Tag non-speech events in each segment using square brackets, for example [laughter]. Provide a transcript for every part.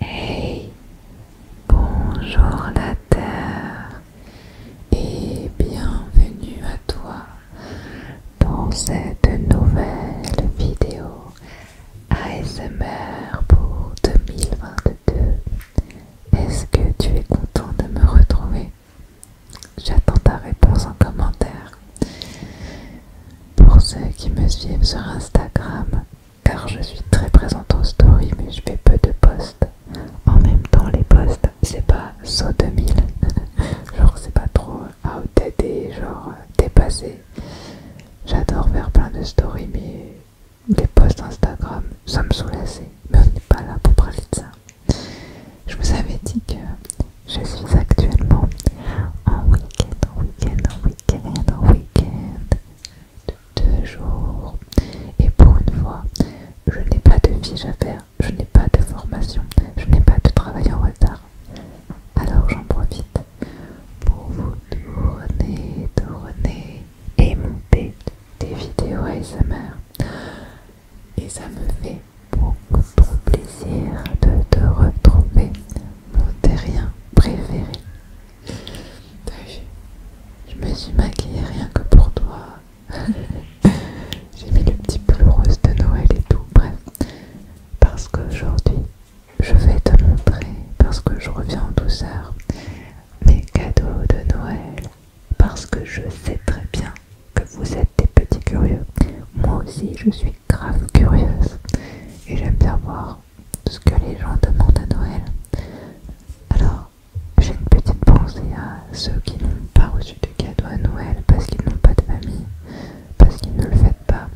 Hey, bonjour la Terre et bienvenue à toi dans cette nouvelle vidéo ASMR pour 2022. Est-ce que tu es content de me retrouver J'attends ta réponse en commentaire. Pour ceux qui me suivent sur Instagram, car je suis très présente en story, mais je fais peu de posts. En même temps, les posts, c'est pas saut de 2000, genre c'est pas trop outdated genre dépassé. J'adore faire plein de stories, mais les posts Instagram, ça me saoule assez. Mais on n'est pas là pour parler de ça. Je vous avais dit que je suis actuellement en week-end, en week-end, en week-end week en week-end, de deux jours. Et pour une fois, je n'ai pas de fiche à faire, je n'ai pas de formation, je n'ai pas de travail en retard. Alors j'en profite pour vous tourner, tourner et monter des vidéos ASMR. Et ça me fait beaucoup plaisir de te retrouver mon terrien préféré. Je me suis maquillée rien que pour toi. [laughs] J'ai mis le petit bleu rose de Noël et tout, bref. Parce qu'aujourd'hui, je vais te montrer, parce que je reviens en douceur, mes cadeaux de Noël. Parce que je sais très bien que vous êtes des petits curieux. Moi aussi, je suis grave curieuse et j'aime bien voir ce que les gens demandent à Noël. Alors, j'ai une petite pensée à ceux qui n'ont pas reçu de cadeau à Noël parce qu'ils n'ont pas de famille, parce qu'ils ne le fêtent pas,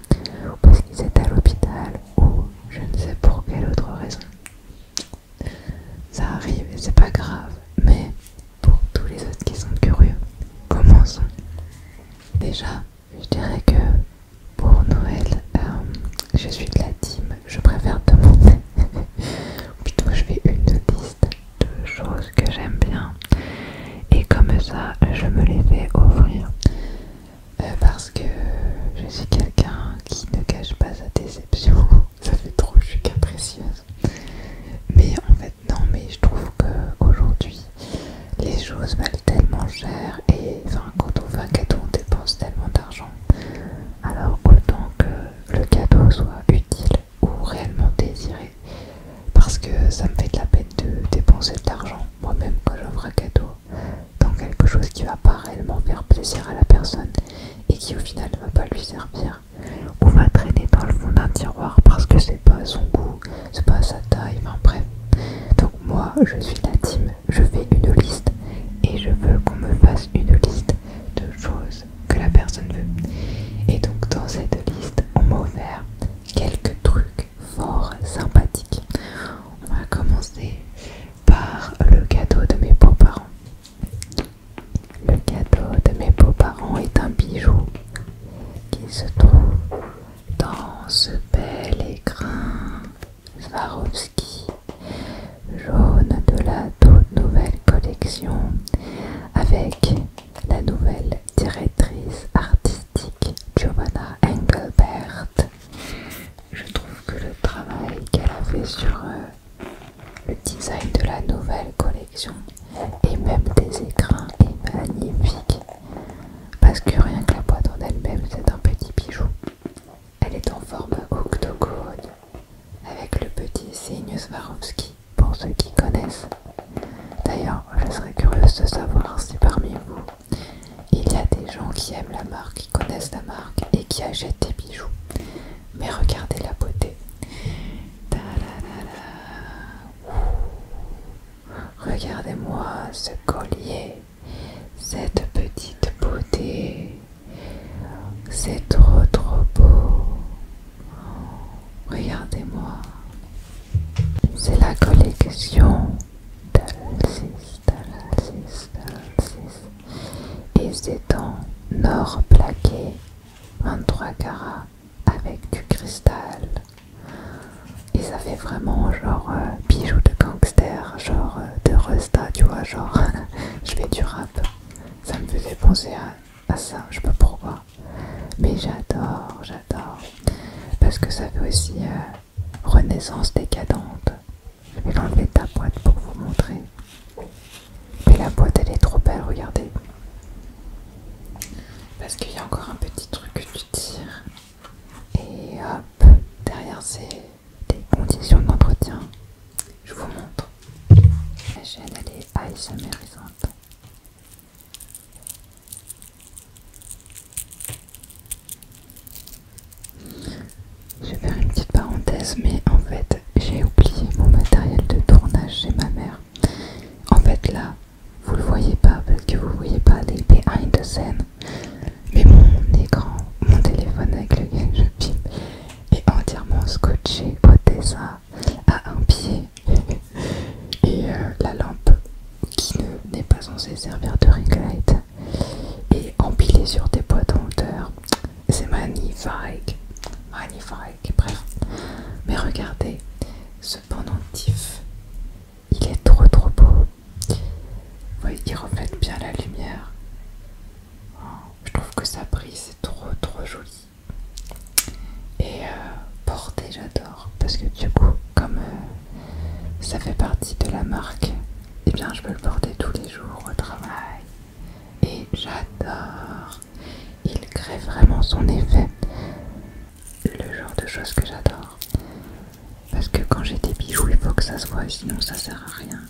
ou parce qu'ils étaient à l'hôpital, ou je ne sais pour quelle autre raison. Ça arrive et c'est pas grave, mais pour tous les autres qui sont curieux, commençons. Déjà, je dirais que pour Noël, euh, je suis de la team. Je préfère demander. [laughs] Plutôt, je fais une liste de choses que j'aime bien. Et comme ça, je me les fais offrir. Euh, parce que je suis quelqu'un qui ne cache pas sa déception. [laughs] ça fait trop, je suis capricieuse. Mais en fait, non, mais je trouve qu'aujourd'hui, les choses valent tellement cher et quand on fait un cadeau, on dépense tellement d'argent. Alors autant que le cadeau soit utile ou réellement désiré, parce que ça me fait de la peine de dépenser de l'argent moi-même quand j'offre un cadeau dans quelque chose qui va pas réellement faire plaisir à la personne et qui au final ne va pas lui servir ou va traîner dans le fond d'un tiroir parce que c'est pas son goût c'est pas sa taille, enfin bref. Donc moi je suis la team, je fais une liste et je veux qu'on me fasse une liste de choses que la personne veut. Et donc dans cette liste, on m'a offert quelques trucs fort sympathiques. On va commencer par le cadeau de mes beaux-parents. Le cadeau de mes beaux-parents est un bijou qui se trouve dans ce bel écrin Swarovski jaune de la toute nouvelle collection avec la nouvelle directrice artistique Giovanna Engelbert. Je trouve que le travail qu'elle a fait sur euh, le design de la nouvelle collection et même des écrins est magnifique. Parce que rien que la boîte en elle-même, c'est un petit bijou. Elle est en forme octogone, avec le petit signe Swarovski, pour ceux qui connaissent. D'ailleurs, je serais curieuse de savoir si parmi vous, il y a des gens qui aiment la marque, qui connaissent la marque et qui achètent des bijoux. Mais regardez la beauté. Regardez-moi ce collier, cette petite beauté. C'est trop trop beau. Regardez-moi. C'est la collection d'Alcis, d'Alcis, d'Alcis. Et c'est en or plaqué, 23 carats avec du cristal et ça fait vraiment genre euh, bijoux de gangster, genre euh, de resta, tu vois, genre [laughs] je fais du rap. Ça me faisait penser à, ça, je sais pas pourquoi. Mais j'adore, j'adore. Parce que ça fait aussi euh, renaissance décadente. Je vais l'enlever ta boîte pour vous montrer. Mais la boîte elle est trop belle, regardez. Parce qu'il y a encore un petit truc que tu tires. Et hop, derrière c'est des conditions d'entretien. Je vous montre. La chaîne elle est Je vais faire une petite parenthèse, mais en fait j'ai oublié mon matériel de tournage chez ma mère. En fait là, vous le voyez pas parce que vous voyez pas les behind the scenes, Mais mon écran, mon téléphone avec lequel je filme est entièrement scotché au ça, à un pied. [laughs] Et euh, la lampe qui n'est pas censée servir de ring light est empilée sur des boîtes en hauteur. C'est magnifique. Magnifique. Mais regardez, ce pendentif, il est trop trop beau. Vous voyez, il reflète bien la lumière. Oh, je trouve que ça brille, c'est trop trop joli. Et porter euh, porté, j'adore, parce que du coup, comme euh, ça fait partie de la marque, et eh bien je peux le porter tous les jours au travail. Et j'adore. Il crée vraiment son effet le genre de choses que j'adore. Parce que quand j'ai des bijoux, il faut que ça se sinon ça sert à rien.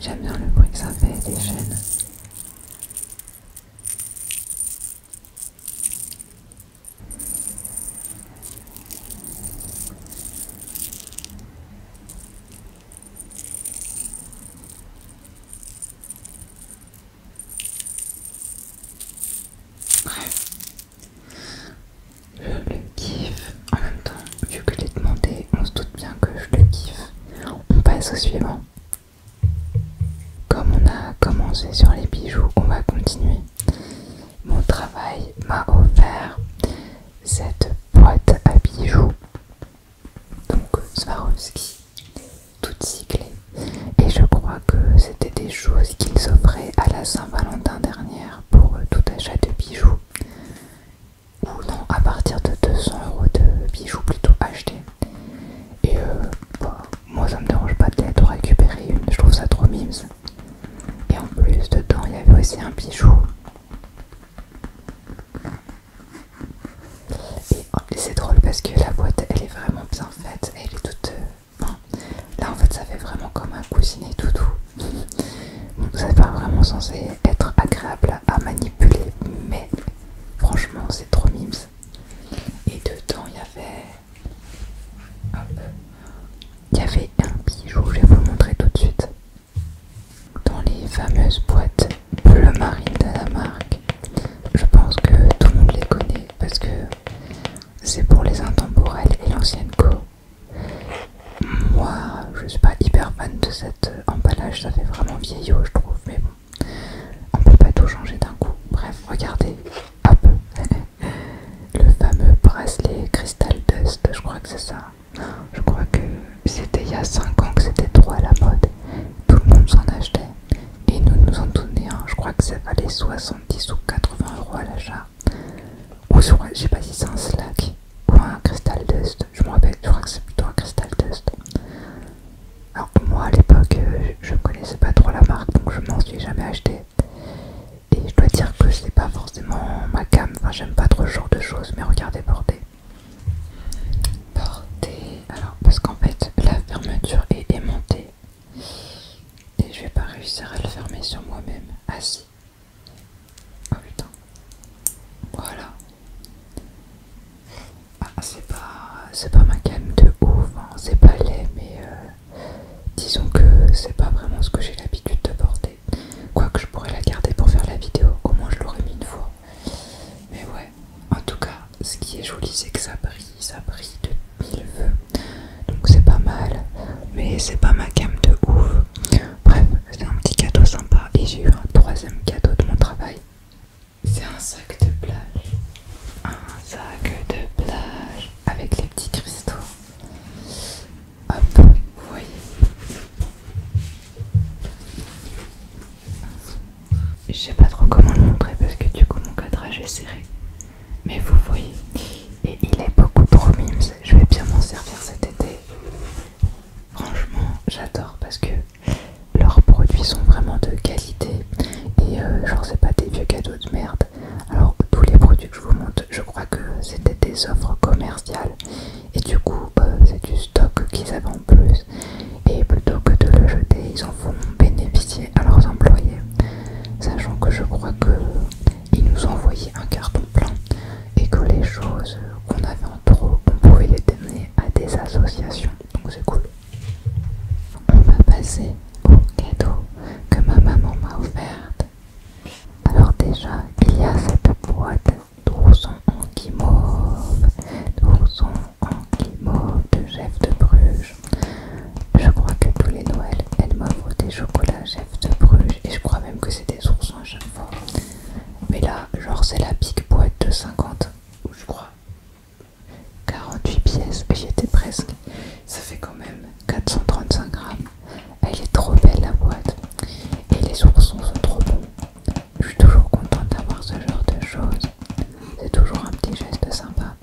J'aime bien le bruit que ça fait, des chaînes. Bref, je le kiffe. En même temps, vu que je l'ai demandé, on se doute bien que je le kiffe. On passe au suivant. Comme on a commencé sur les bijoux, on va continuer. Mon travail m'a offert cette boîte à bijoux donc euh, Swarovski, toutes cyclée. Et je crois que c'était des choses qu'ils offraient à la Saint-Valentin dernière pour euh, tout achat de bijoux. Ou non, à partir de 200 euros de bijoux plutôt achetés. Et euh, bah, moi ça me dérange pas d'être récupérer une, je trouve ça trop mimes. Et en plus dedans il y avait aussi un bijou et, oh, c'est drôle parce que la boîte elle est vraiment bien faite, elle est toute. Euh, là en fait ça fait vraiment comme un coussinet toutou. Donc ça pas vraiment censé être agréable à manipuler, mais franchement c'est trop mimes. Et dedans il y avait. Il y avait un bijou, je vais vous le montrer tout de suite. Dans les fameuses boîtes bleu marine de la marque je pense que tout le monde les connaît parce que c'est pour les intemporels et l'ancienne co. Moi, je suis pas hyper fan de cet emballage, ça fait vraiment vieillot, je trouve, mais bon, on peut pas tout changer d'un coup. Bref, regardez, hop, [laughs] le fameux bracelet Crystal Dust, je crois que c'est ça je crois que c'était il y a 5 ans que c'était trop à la mode, tout le monde s'en achetait et nous nous en donnions hein. je crois que ça valait 70 ou 80 euros à l'achat, ou je sais pas si c'est un slack ou un Crystal dust, je me rappelle, je crois que c'est plutôt un Crystal dust. Alors moi à l'époque euh, je connaissais pas trop la marque donc je m'en suis jamais acheté et je dois dire que ce n'est pas forcément ma gamme, enfin j'aime pas trop ce genre de choses mais regardez bordé Porter. Alors, parce qu'en fait, la fermeture est aimantée. Et je vais pas réussir à le fermer sur moi-même. assis ah, Oh putain. Voilà. Ah, c'est pas, c'est pas ma gamme de haut hein. c'est pas laid, mais euh, disons que c'est pas vraiment ce que j'ai l'habitude de porter. Quoique je pourrais la garder pour faire la vidéo, comment je l'aurais mis une fois. Mais ouais, en tout cas, ce qui est joli, c'est que ça brille, ça brille de mille feux. Donc c'est pas mal, mais c'est pas ma gamme de ouf. Bref, c'est un petit cadeau sympa et j'ai eu un troisième cadeau de mon travail. C'est un sac de plage. Un sac de plage avec les petits cristaux. Hop, vous voyez. Je sais pas trop comment le montrer parce que du coup mon cadrage est serré. Mais vous voyez, et il est beaucoup trop mime. Je vais bien m'en servir cet été. Franchement, j'adore parce que leurs produits sont vraiment de qualité. Et euh, genre, c'est pas des vieux cadeaux de merde. Alors, tous les produits que je vous montre, je crois que c'était des offres commerciales et du coup bah, c'est du stock qu'ils avaient en plus et plutôt que de le jeter ils en font bénéficier à leurs employés sachant que je crois que ils nous envoyé un carton plein et que les choses qu'on avait en trop on pouvait les donner à des associations donc c'est cool on va passer au cadeau que ma maman m'a offert. alors déjà il y a cette boîte d'oursons en guimauve, ans en guimauve de chef de Bruges. Je crois que tous les Noëls, elle m'a des chocolats chef de Bruges et je crois même que c'était des ours à chaque Mais là, genre, c'est la pique boîte de 50, je crois. 48 pièces, j'y étais presque. Ça fait quand même 435 grammes. Elle est trop belle la boîte. Et les oursons sont trop bons. Je suis toujours contente d'avoir ce genre de choses. C'est toujours un petit geste sympa.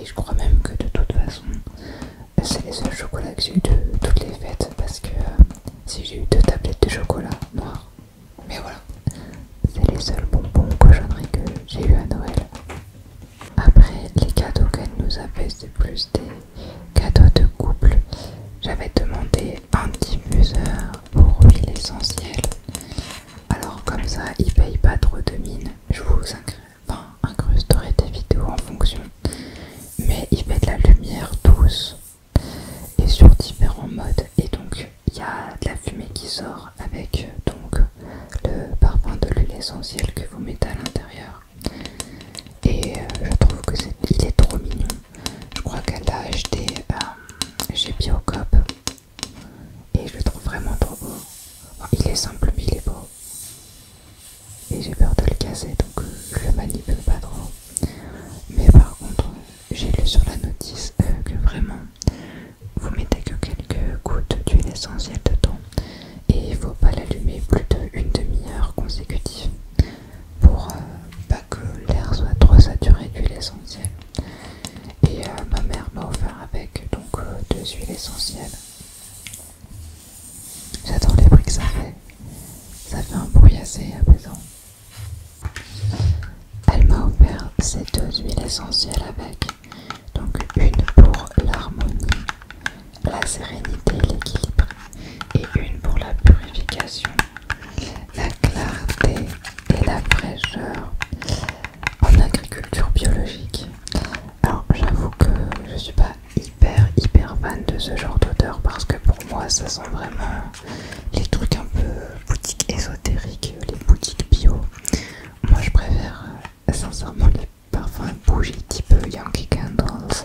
Et je crois même que de toute façon, c'est les seuls chocolats que j'ai eu de toutes les fêtes. Parce que euh, si j'ai eu deux tablettes de chocolat noir. Mais voilà. C'est les seuls bonbons cochonneries que j'ai eu à Noël. Après, les cadeaux qu'elle nous a fait, c'est plus des cadeaux de couple, j'avais demandé un diffuseur pour huile essentielle. Alors comme ça, il paye pas trop de mine. Je vous incrusterai des vidéos en fonction. Mais il fait de la lumière douce et sur différents modes. Et donc il y a de la fumée qui sort avec donc le parfum de l'huile essentielle que vous mettez à l'intérieur. Et euh, je trouve que c'est est trop mignon. Je crois qu'elle l'a acheté euh, chez Biocop. Et je le trouve vraiment trop beau. il est simple mais il est beau. Et j'ai peur de le casser donc euh, je le manipule pas trop. Mais par contre, j'ai lu sur la notice que vraiment vous mettez que quelques gouttes d'huile essentielle dedans et il faut pas l'allumer plus d'une demi-heure consécutive pour euh, pas que l'air soit trop saturé d'huile essentielle. Et euh, ma mère m'a offert avec donc euh, deux huiles essentielles. J'adore les bruits que ça fait. Ça fait un bruit assez apaisant. Elle m'a offert ces deux huiles essentielles avec. Donc une pour l'harmonie la sérénité, et l'équilibre et une pour la purification, la clarté et la fraîcheur en agriculture biologique. Alors j'avoue que je suis pas hyper hyper fan de ce genre d'odeur parce que pour moi ça sent vraiment les trucs un peu boutiques ésotériques, les boutiques bio. Moi je préfère euh, sincèrement les parfums bougies type Yankee Candles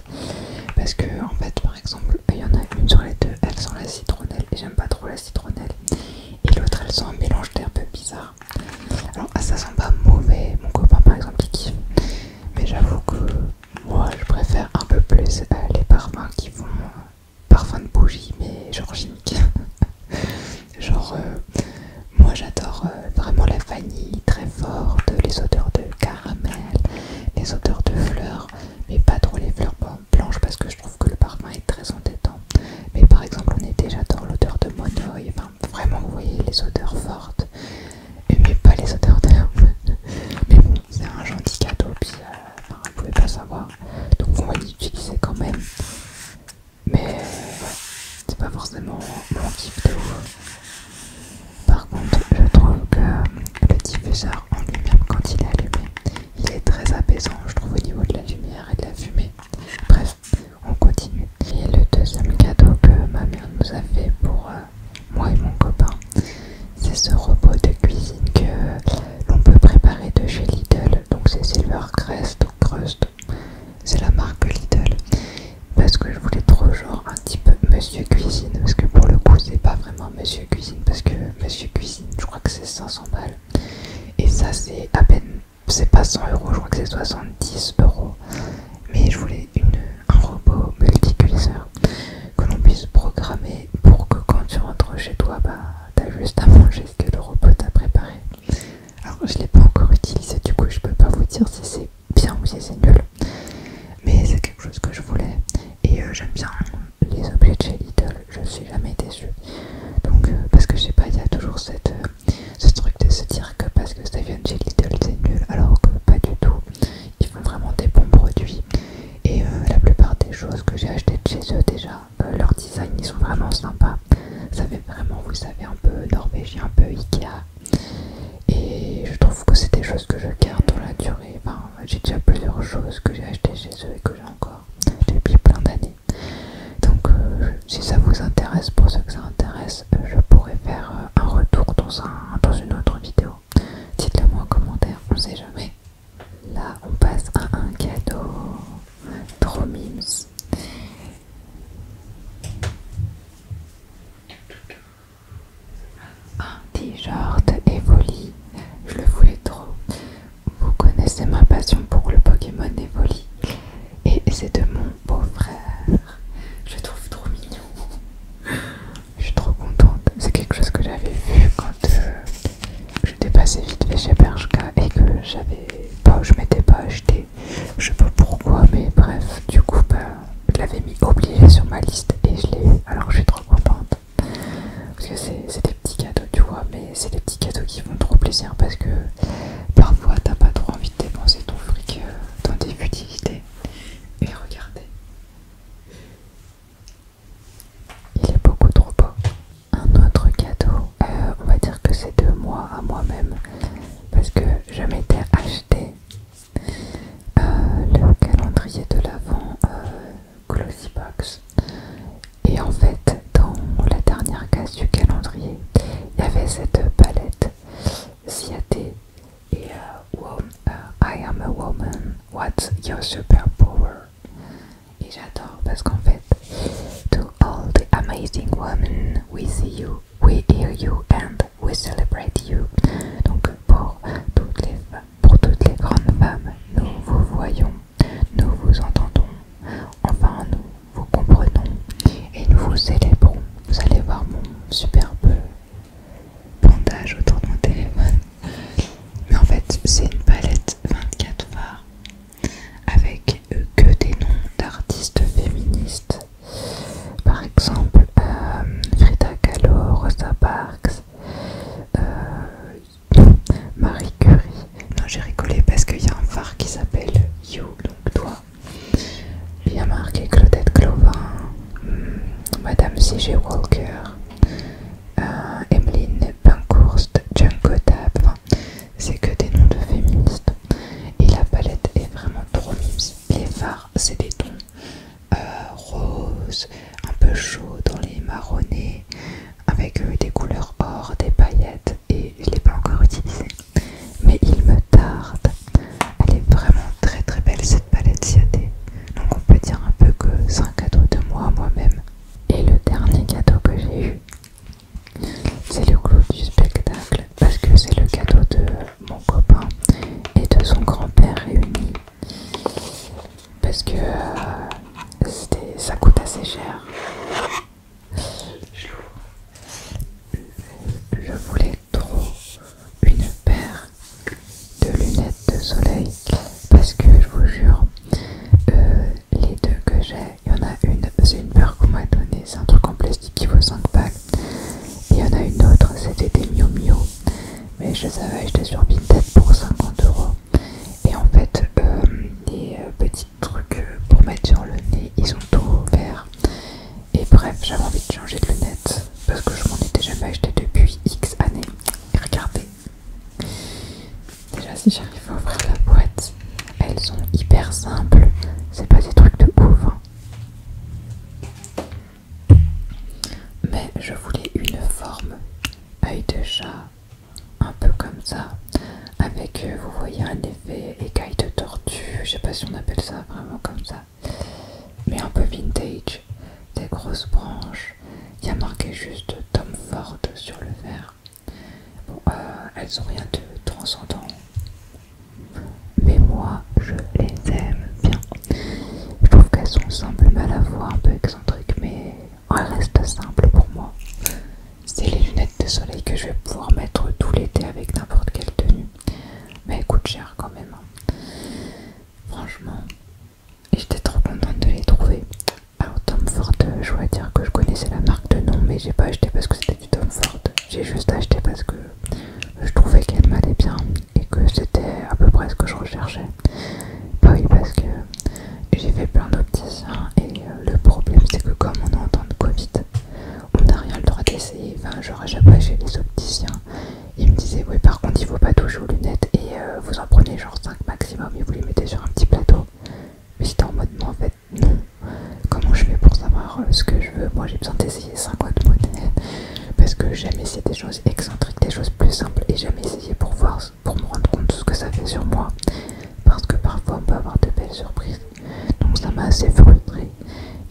parce que, en fait, par exemple, il y en a une sur les deux, elle sent la citronnelle et j'aime pas trop la citronnelle. Et l'autre, elle sent un mélange d'herbes bizarre. Alors, ah, ça sent pas mauvais, mon copain par exemple, il kiffe. Mais j'avoue que moi, je préfère un peu plus euh, les parfums qui font euh, Parfums parfum de bougie, mais genre chimique. [laughs] genre, euh, moi j'adore vraiment la vanille très forte, les odeurs de caramel, les odeurs de fleurs, mais pas trop les fleurs blanches parce que je trouve que le parfum est très entêtant. Mais par exemple, en été, j'adore l'odeur de monoï, enfin vraiment, vous voyez, les odeurs fortes, mais pas les odeurs d'herbe. Mais bon, c'est un gentil cadeau, puis on euh, ne pouvez pas savoir, donc on va l'utiliser quand même. Mais euh, c'est pas forcément mon type de par contre, je trouve que le diffuseur en lui-même, quand il est allumé, il est très apaisant, je trouve, au niveau de la lumière et de la fumée. Bref, on continue. Et le deuxième cadeau que ma mère nous a fait pour euh, moi et mon copain, c'est ce robot de cuisine que l'on peut préparer de chez Lidl. Donc c'est Silvercrest ou Crust, c'est la marque Lidl parce que je voulais trop genre un type Monsieur Cuisine parce que pour le coup c'est pas vraiment Monsieur Cuisine parce que Monsieur Cuisine je crois que c'est 500 balles et ça c'est à peine c'est pas 100 euros je crois que c'est 70 euros mais je voulais un robot multiculisseur que l'on puisse programmer pour que quand tu rentres chez toi bah t'as juste à manger ce que le robot t'a préparé alors je l'ai pas encore utilisé du coup je peux pas vous dire si c'est bien ou c'est nul, mais c'est quelque chose que je voulais et euh, j'aime bien les objets de chez Lidl, je suis jamais déçue. Donc, euh, parce que je sais pas, il y a toujours cette, euh, ce truc de se dire que parce que ça vient de chez Lidl, c'est nul, alors que pas du tout. Ils font vraiment des bons produits et la plupart des choses que j'ai achetées de chez eux déjà, leur design ils sont vraiment sympas. Ça fait vraiment, vous savez, un peu norvégien, un peu Ikea, et je trouve que c'est des choses que je garde dans la durée. j'ai déjà plusieurs choses que j'ai achetées chez eux et que j'ai encore depuis plein d'années. Donc, euh, si ça vous intéresse, pour ceux que ça intéresse, euh, je pourrais faire euh, un retour dans, un, dans une autre vidéo. Dites-le moi en commentaire, on sait jamais. Là, on passe à un cadeau. Trop mimes. Un t-shirt évoli. je le voulais trop. Vous connaissez ma passion pour le Pokémon Evoli et c'est de mon beau-frère. Je le trouve trop mignon. Je suis trop contente. C'est quelque chose que j'avais vu quand euh, j'étais passée vite chez Bershka et que j'avais pas, je m'étais pas acheté. Je ne sais pas pourquoi, mais bref, du coup, bah, je l'avais mis obligé sur ma liste et je l'ai eu, alors je suis trop contente. Parce que c'est des petits cadeaux, tu vois, mais c'est des petits cadeaux qui font trop plaisir parce que parfois t'as pas trop envie de dépenser ton fric euh, dans des futilités. Et regardez, il est beaucoup trop beau. Un autre cadeau, euh, on va dire que c'est de moi à moi-même parce que je m'étais acheté euh, le calendrier de l'avant euh, Glossy Box. Et en fait, dans la dernière case du calendrier, il y avait cette palette C.A.T et euh, I am a woman, what's your superpower? Et j'adore parce qu'en fait, to all the amazing women we see you, we hear you and we celebrate you. Donc pour toutes les pour toutes les grandes femmes, nous vous voyons, nous vous entendons, enfin nous vous comprenons et nous vous célébrons. Vous allez voir mon superbe bandage autour de mon téléphone. Mais en fait, c'est une palette 24 phares avec que des noms d'artistes féministes par exemple, euh, Frida Kahlo, Rosa Parks, euh, Marie Curie. Non, j'ai rigolé parce qu'il y a un phare qui s'appelle You, donc toi. Il y a marqué Claudette Clovin, hmm, Madame C.G. Walker, Emmeline euh, Emeline Pankhurst, Django Tab. C'est que des noms de féministes. Et la palette est vraiment trop mise. Les phares, c'est des tons euh, roses, un peu chauds dans les marronnés, avec euh, des couleurs or, des paillettes, et je ne l'ai pas encore utilisé, Mais il me tarde. Elle est vraiment très très belle cette palette Ciaté. Donc on peut dire un peu que c'est un cadeau de moi moi-même. Et le dernier cadeau que j'ai eu, c'est le clou du spectacle. Parce que c'est le cadeau de mon copain et de son grand-père réunis parce que euh, ça coûte assez cher. Je voulais trop une paire de lunettes de soleil parce que je vous jure, euh, les deux que j'ai, il y en a une, c'est une paire qu'on m'a donnée, c'est un truc en plastique qui vaut 5 packs il y en a une autre, c'était des Mio Mio, mais je les avais achetés sur Vinted pour 50€ Et en fait, euh, des euh, petits trucs euh, pour mettre sur le nez, ils sont tout verts. Et bref, j'avais envie de changer de lunettes parce que je m'en étais jamais acheté depuis X années. Et regardez, déjà si j'arrive à ouvrir la boîte, elles sont hyper simples. C'est pas des trucs de ouf. Hein. Mais je voulais une forme, œil de chat, un peu comme ça, avec, euh, vous voyez, un effet écaille de tortue, je sais pas si on appelle ça vraiment comme ça, mais un peu vintage, des grosses branches. Il y a marqué juste Tom Ford sur le verre. Bon, euh, elles ont rien de transcendant. Mais moi, je les aime bien. Je trouve qu'elles sont simples, mal à voir, un peu excentriques, mais elles restent simples pour moi. C'est les lunettes de soleil que je vais pouvoir mettre tout l'été avec n'importe quelle tenue. Mais elles coûtent cher quand même. Hein. Franchement, j'étais trop contente de les trouver. Alors Tom Ford, je dois dire que je connaissais la marque de nom, mais j'ai pas acheté parce que c'était du Tom Ford. J'ai juste acheté parce que je trouvais qu'elle m'allait bien et que c'était à peu près ce que je recherchais. Bah oui, parce que j'ai fait plein d'opticiens et euh, le problème c'est que comme on est en temps de Covid, on n'a rien le droit d'essayer. Enfin, j'aurais à chaque chez les opticiens, ils me disaient oui par contre il faut pas toucher aux lunettes et euh, vous en prenez genre 5 maximum et vous les mettez sur un petit plateau. Mais c'était en mode non en fait Comment je fais pour savoir euh, ce que je veux Moi j'ai besoin d'essayer autres modèles [laughs] parce que j'aime essayer des choses excentriques, des choses plus simples et j'aime essayé pour voir, pour me rendre compte de ce que ça fait sur moi parce que parfois on peut avoir de belles surprises. Donc ça m'a assez frustré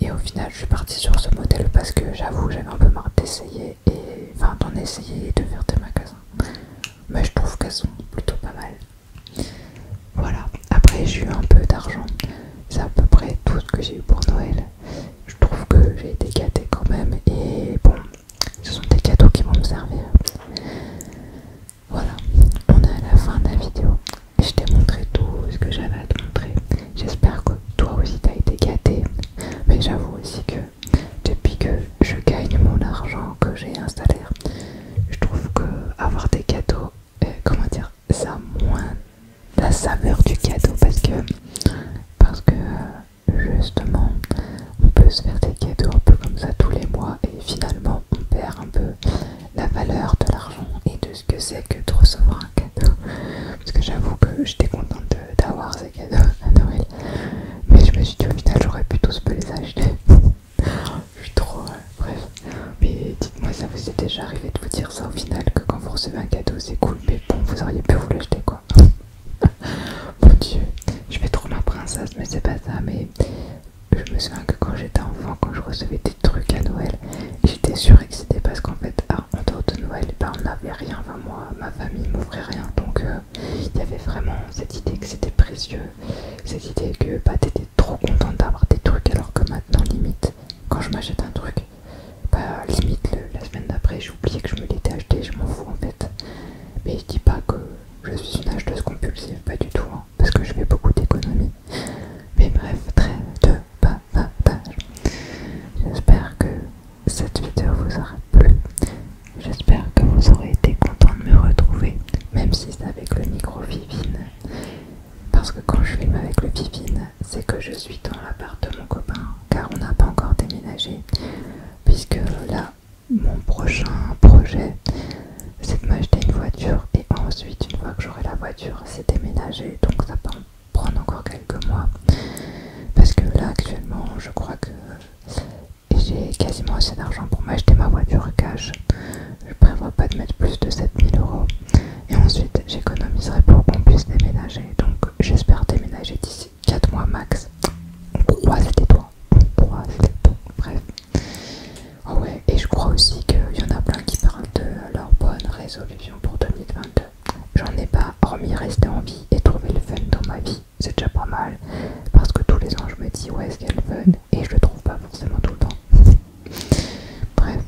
et au final je suis partie sur ce modèle parce que j'avoue j'avais un peu marre d'essayer et enfin d'en essayer et de faire des magasins. Mais je trouve qu'elles sont plutôt pas mal. Voilà, après j'ai eu un peu d'argent, c'est à peu près tout ce que j'ai eu pour Noël. Je trouve que j'ai été gâté quand même et bon, ce sont des cadeaux qui vont me servir. Voilà, on est à la fin de la vidéo. Je t'ai montré tout ce que j'avais à te montrer. J'espère que toi aussi t'as été gâté. Mais j'avoue aussi que depuis que je gagne mon argent, que j'ai un salaire, je trouve que avoir des cadeaux euh, comment dire, ça moins la saveur du cadeau parce que, parce que euh, justement, on peut se faire des cadeaux un peu comme ça tous les mois et finalement on perd un peu la valeur de l'argent et de ce que c'est que de recevoir un cadeau. Parce que j'avoue que j'étais contente d'avoir ces cadeaux à Noël, mais je me suis dit au final j'aurais pu tous les acheter. Je suis trop... Euh, bref. Mais dites-moi, ça vous est déjà arrivé de vous dire ça au final, que quand vous recevez un cadeau, c'est cool, mais bon, vous auriez pu vous l'acheter, quoi. [laughs] Mon dieu, je vais trop ma princesse, mais c'est pas ça, mais... Je me souviens que quand j'étais enfant, quand je recevais des trucs à Noël, j'étais c'était parce qu'en fait, ah, en dehors de Noël, ben, on n'avait rien. Enfin, moi, ma famille m'offrait rien. Donc, euh, il y avait vraiment cette idée que c'était précieux, cette idée que pas bah, trop content d'avoir des trucs alors que maintenant limite quand je m'achète un truc bah limite la semaine d'après j'ai oublié que je me l'étais acheté je m'en fous en fait mais je dis pas que je suis une acheteuse compulsive pas du tout hein, parce que je fais beaucoup d'économies mais bref très de pas j'espère que cette vidéo vous aura plu j'espère que vous aurez été content de me retrouver même si c'est avec le micro vivine parce que quand je filme avec le Pipin, c'est que je suis dans l'appart de mon copain, car on n'a pas encore déménagé. Puisque là, mon prochain projet, c'est de m'acheter une voiture et ensuite, une fois que j'aurai la voiture, c'est déménager. Donc ça peut prendre encore quelques mois. Parce que là, actuellement, je crois que j'ai quasiment assez d'argent pour m'acheter ma voiture cash. Je prévois pas de mettre plus de 7000 euros. Et ensuite, j'économiserai pour qu'on puisse déménager. Donc, j'espère déménager d'ici 4 mois max. On croise les doigts. On Bref. Oh ouais, et je crois aussi qu'il y en a plein qui parlent de leur bonne résolution pour 2022. J'en ai pas, hormis rester en vie et trouver le fun dans ma vie. C'est déjà pas mal. Parce que tous les ans, je me dis, où y a le fun. Et je le trouve pas forcément tout le temps. Bref,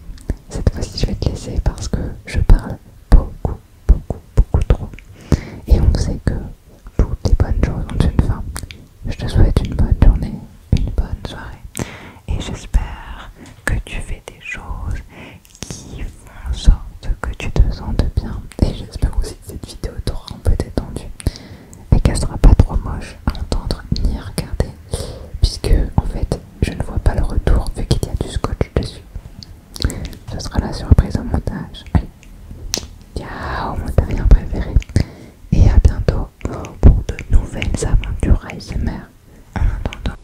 cette fois-ci je vais te laisser parce que je parle beaucoup, beaucoup, beaucoup trop. Et on sait que toutes les bonnes choses ont une fin. Je te souhaite une bonne journée, une bonne soirée. Et j'espère que tu fais des choses qui font en sorte que tu te sentes bien. Et j'espère aussi que cette vidéo t'aura un peu détendu et qu'elle sera pas trop moche à entendre ni à regarder, puisque en fait je ne vois pas le retour vu qu'il y a du scotch dessus. Ce sera la surprise au montage. Allez, ciao mon terrien préféré, et à bientôt pour de nouvelles aventures ASMR. En attendant.